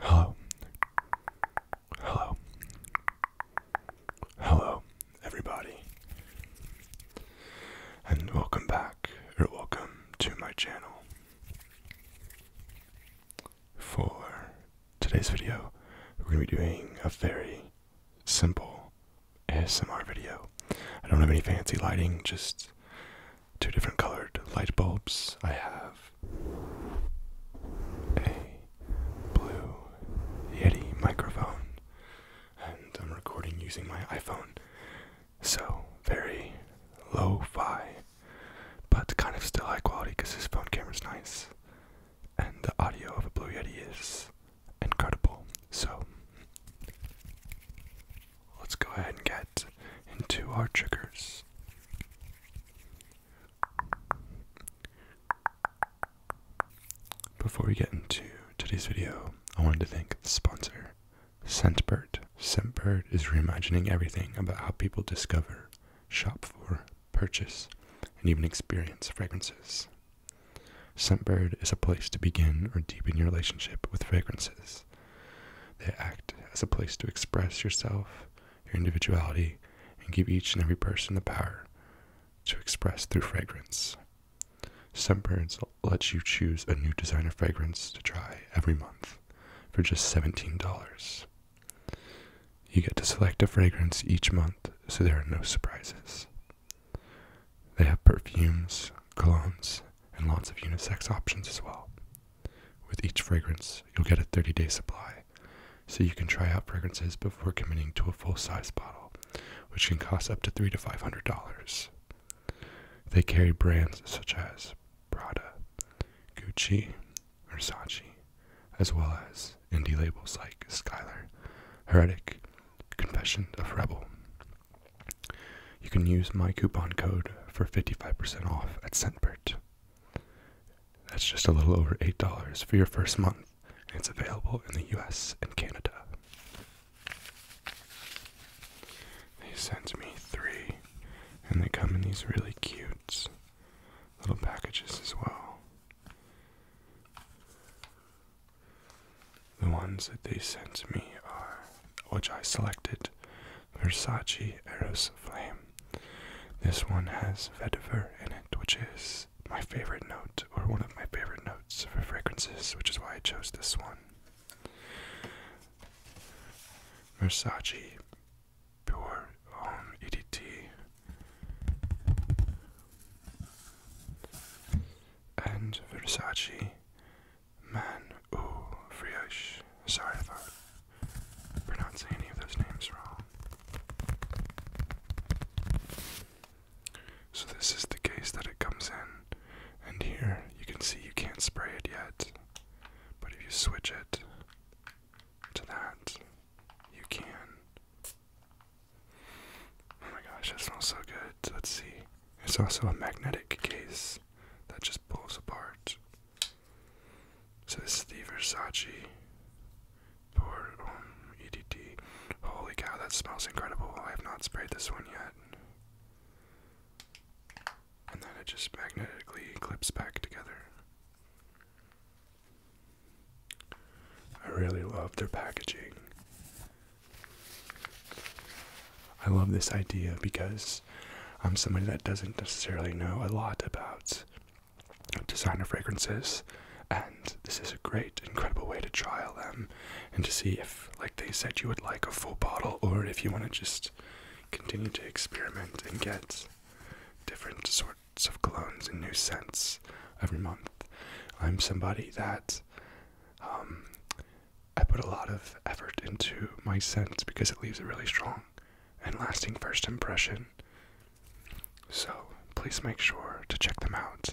Hello. Hello. Hello, everybody. And welcome back, or welcome to my channel. For today's video, we're going to be doing a very simple ASMR video. I don't have any fancy lighting, just two different colored light bulbs. I have a blue Yeti microphone, and I'm recording using my iPhone. So, very low fi, but kind of still high quality because this phone camera's nice. And the audio of a Blue Yeti is incredible. So let's go ahead and get into our triggers. Before we get into today's video, I wanted to thank the sponsor, Scentbird. Scentbird is reimagining everything about how people discover, shop for, purchase, and even experience fragrances. Scentbird is a place to begin or deepen your relationship with fragrances. They act as a place to express yourself, your individuality, and give each and every person the power to express through fragrance. Scentbirds lets you choose a new designer fragrance to try every month for just $17. You get to select a fragrance each month so there are no surprises. They have perfumes, colognes, and lots of unisex options as well. With each fragrance, you'll get a 30 day supply, so you can try out fragrances before committing to a full size bottle, which can cost up to three to five hundred dollars. They carry brands such as Prada, Gucci, Versace, as well as indie labels like Skylar, Heretic, Confession of Rebel, you can use my coupon code for 55% off at Scentbird. That's just a little over $8 for your first month, and it's available in the US and Canada. They sent me three, and they come in these really cute little packages as well. The ones that they sent me are, which I selected, Versace Eros Flame. This one has vetiver in it, which is my favorite note, or one of my favorite notes for fragrances, which is why I chose this one. Versace Pure EDT. And Versace Man ou Sorry if pronouncing any of those names wrong. So this is the case that it comes in, and here you can see you can't spray it yet. But if you switch it to that, you can. Oh my gosh, that smells so good it. Let's see. There's also a magnetic case that just pulls apart. So this is the Versace Pour um, EDT. Holy cow, that smells incredible. I have not sprayed this one yet. And then it just magnetically clips back together. I really love their packaging. I love this idea because I'm somebody that doesn't necessarily know a lot about designer fragrances, and this is a great, incredible way to trial them and to see if, like they said, you would like a full bottle or if you want to just continue to experiment and get different sorts of colognes and new scents every month. I'm somebody that um, I put a lot of effort into my scent because it leaves a really strong and lasting first impression. So please make sure to check them out.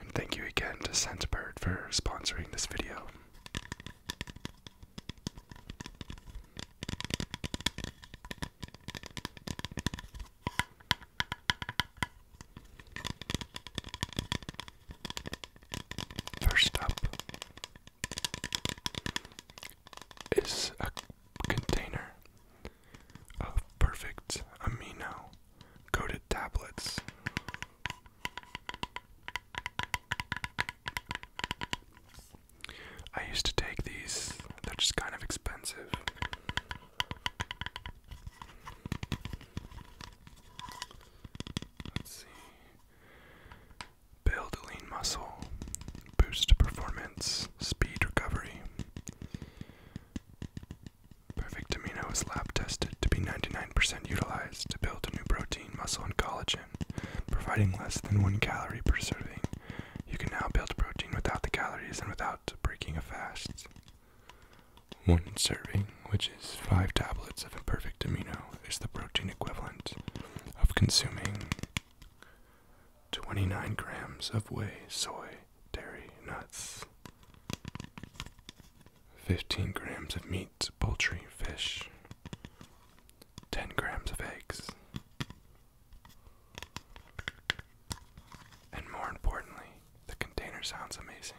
And thank you again to Scentbird for sponsoring this video. First up is a container of perfect amino coated tablets. I used to take these, they're just kind of expensive. Let's see. Build lean muscle, boost performance, speed recovery. Perfect amino is lab tested to be 99% utilized to build a new protein, muscle, and collagen, providing less than one calorie per serving. You can now build protein without the calories and without breaking a fast. One serving, which is five tablets of a perfect amino, is the protein equivalent of consuming 29 grams of whey, soy, dairy, nuts, 15 grams of meat, poultry, fish, 10 grams of eggs. And more importantly, the container sounds amazing.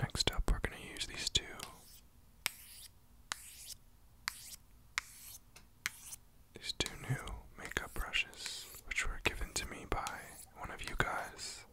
Next up, we're going to use these two. These two new makeup brushes, which were given to me by one of you guys.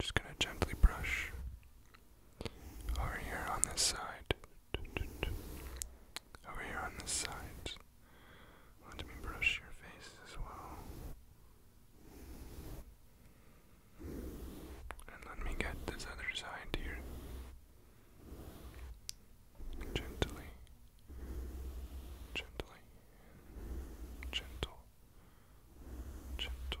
Just going to gently brush over here on this side. Over here on this side. Let me brush your face as well. And let me get this other side here. Gently. Gently. Gentle. Gentle.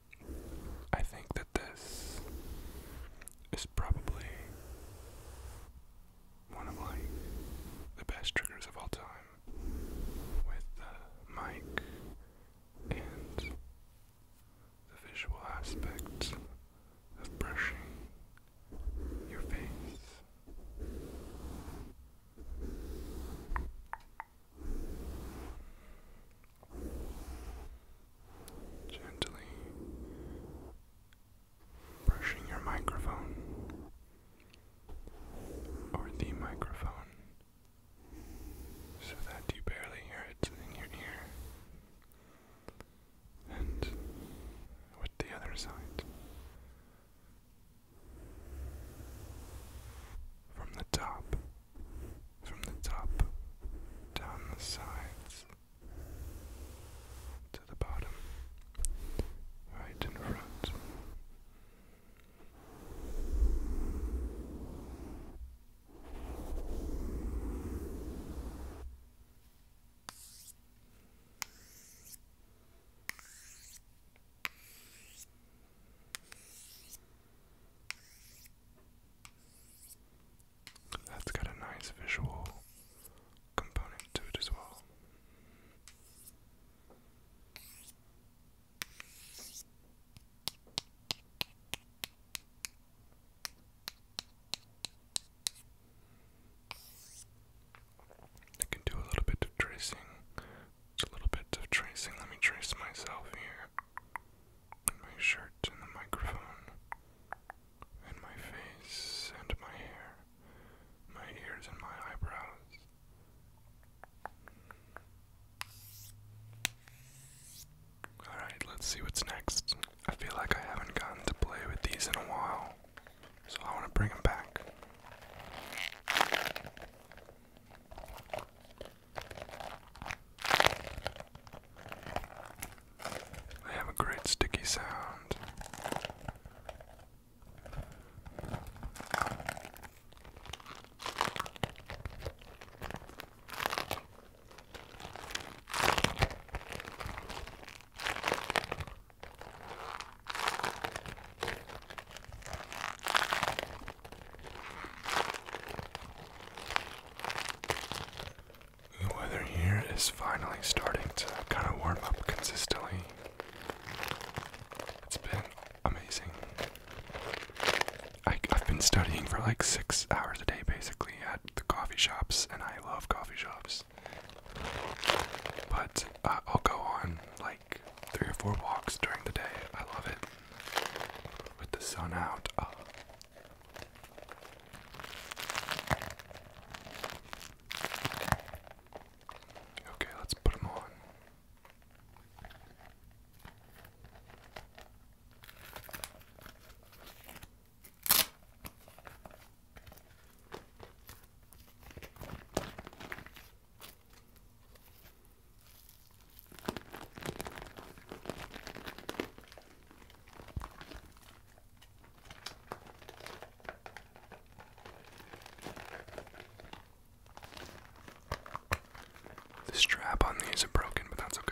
I think that this is probably one of like the best triggers of all time with the mic and the visual aspect of brushing your face. Gently brushing your microphone or the microphone so that you barely hear it in your ear, and with the other side. From the top from the top, down the sides, to the bottom, right in front. That's got a nice visual component to it as well. I can do a little bit of tracing a little bit of tracing. Let me trace myself here. my shirt, and the microphone, and my face, and my hair, my ears, and my eyebrows. Alright, let's see what's next. I feel like I haven't gotten to play with these in a while, so I want to bring them back. They have a great sticky sound. The weather here is finally starting to kind of warm up consistently. It's been amazing. I, have been studying for like six hours a day basically at the coffee shops, and I love coffee shops. But uh, I'll go on like three or four walks during the day. I love it with the sun out. Ah. Okay, let's put them on. The strap on these are broken, but that's okay.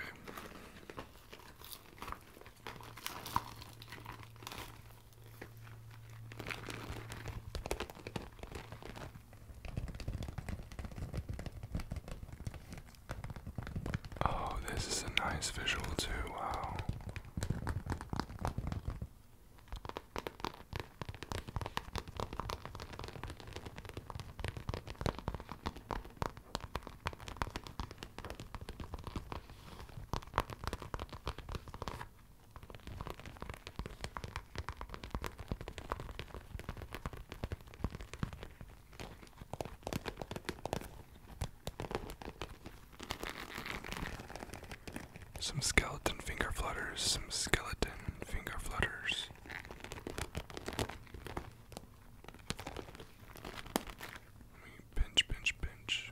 Oh, this is a nice visual, too. Wow. Some skeleton finger flutters, some skeleton finger flutters. pinch, pinch, pinch.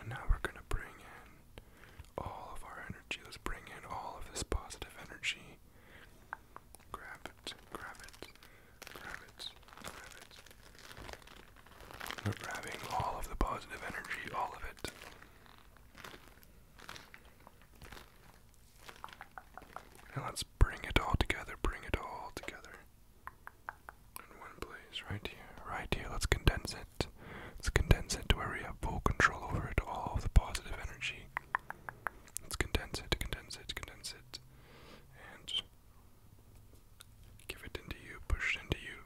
And now we're going to bring in all of our energy. Let's bring in all of this positive energy. Grab it, grab it, grab it, grab it. We're grabbing all of the positive energy, all of it. And let's bring it all together, bring it all together. In one place, right here, right here. Let's condense it. Let's condense it to where we have full control over it, all of the positive energy. Let's condense it, condense it, condense it. And Give it into you, push it into you.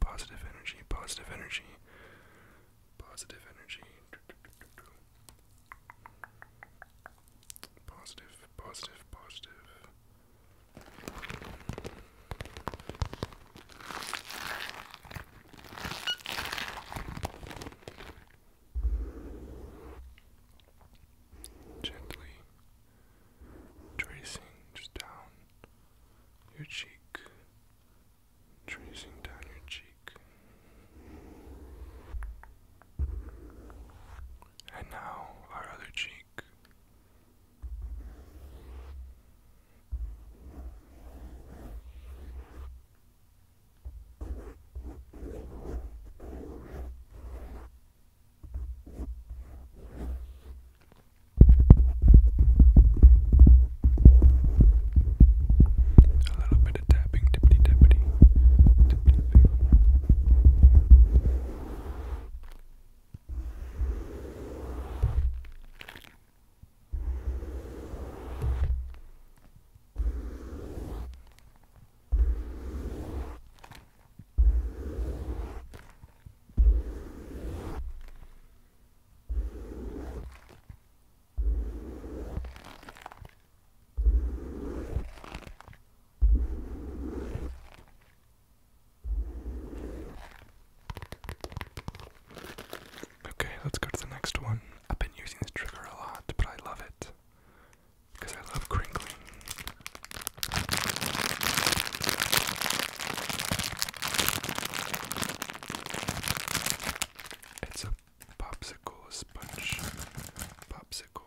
Positive energy, positive energy, positive energy. Positive, positive, positive. Gently tracing just down your cheek, tracing down your cheek. And now our other cheek. A little bit of tapping, tippity tappity. Tippity tapping. Okay, let's go to the next one. I've been using this trigger a lot, but I love it because I love crinkling. It's a popsicle sponge. Popsicle.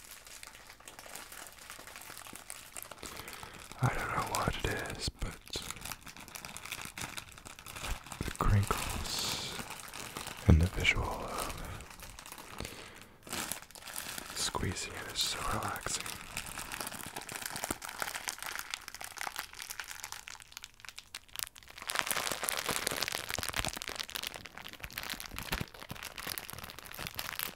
I don't know what it is, but the crinkles and the visual of squeezing it is so relaxing.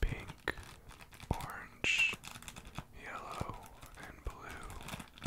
Pink, orange, yellow, and blue.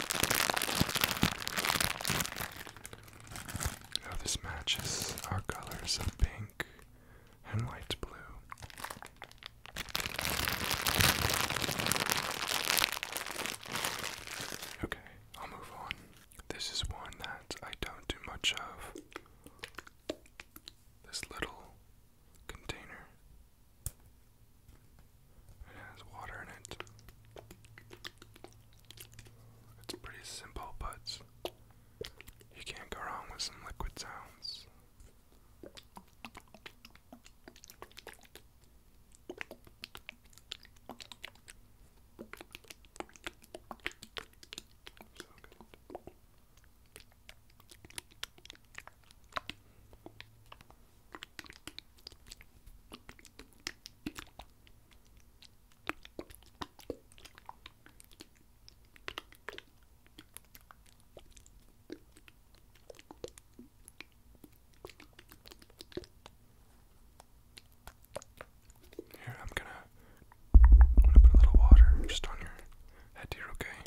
Oh, this matches our colors of pink and light blue. Okay, I'll move on. This is one that I don't do much of. This little container. It has water in it. It's pretty simple, but you can't go wrong with some liquid sounds. So good. Here, I'm gonna, I'm gonna put a little water just on your head here, okay?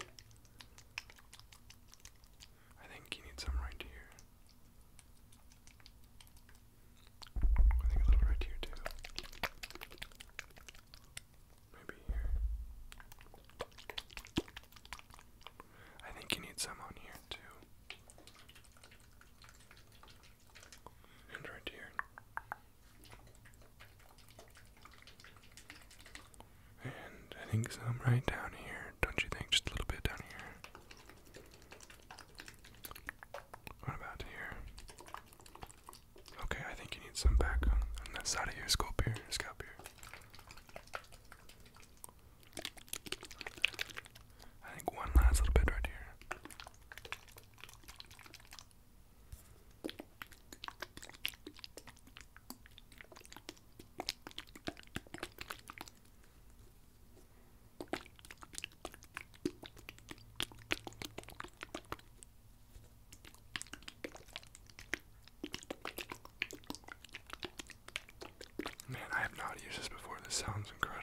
I think you need some right here. I think a little right here too. Maybe here. I think you need some on here too. And right here. And I think some right down here, don't you think? Just a little bit down here. What about here? Okay, I think you need some back on, on that side of your scalp here, scalp here. I think one last little bit right here. Man, I have not used this before. This sounds incredible.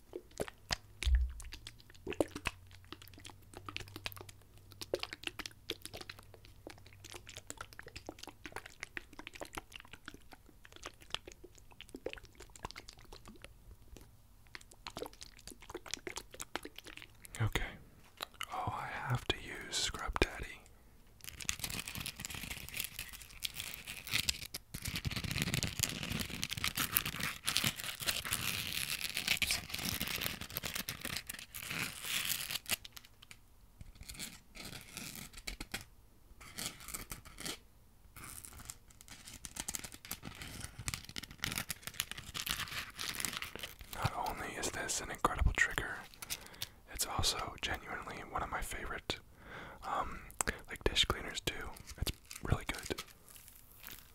Okay. Oh, I have to use Scrub Daddy. Not only is this an incredible trigger, it's also genuinely one of my favorite um, like dish cleaners too. It's really good.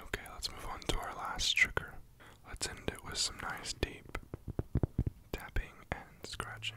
Okay, let's move on to our last trigger. Let's end it with some nice deep tapping and scratching.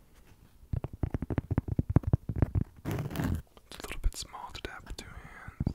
It's a little bit small to tap with two hands.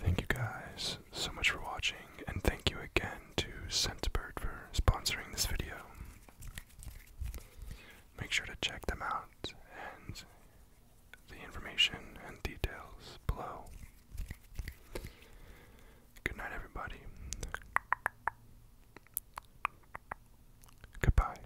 Thank you guys so much for watching, and thank you again to Scentbird for sponsoring this video. Make sure to check them out and the information and details below. Good night, everybody. Goodbye.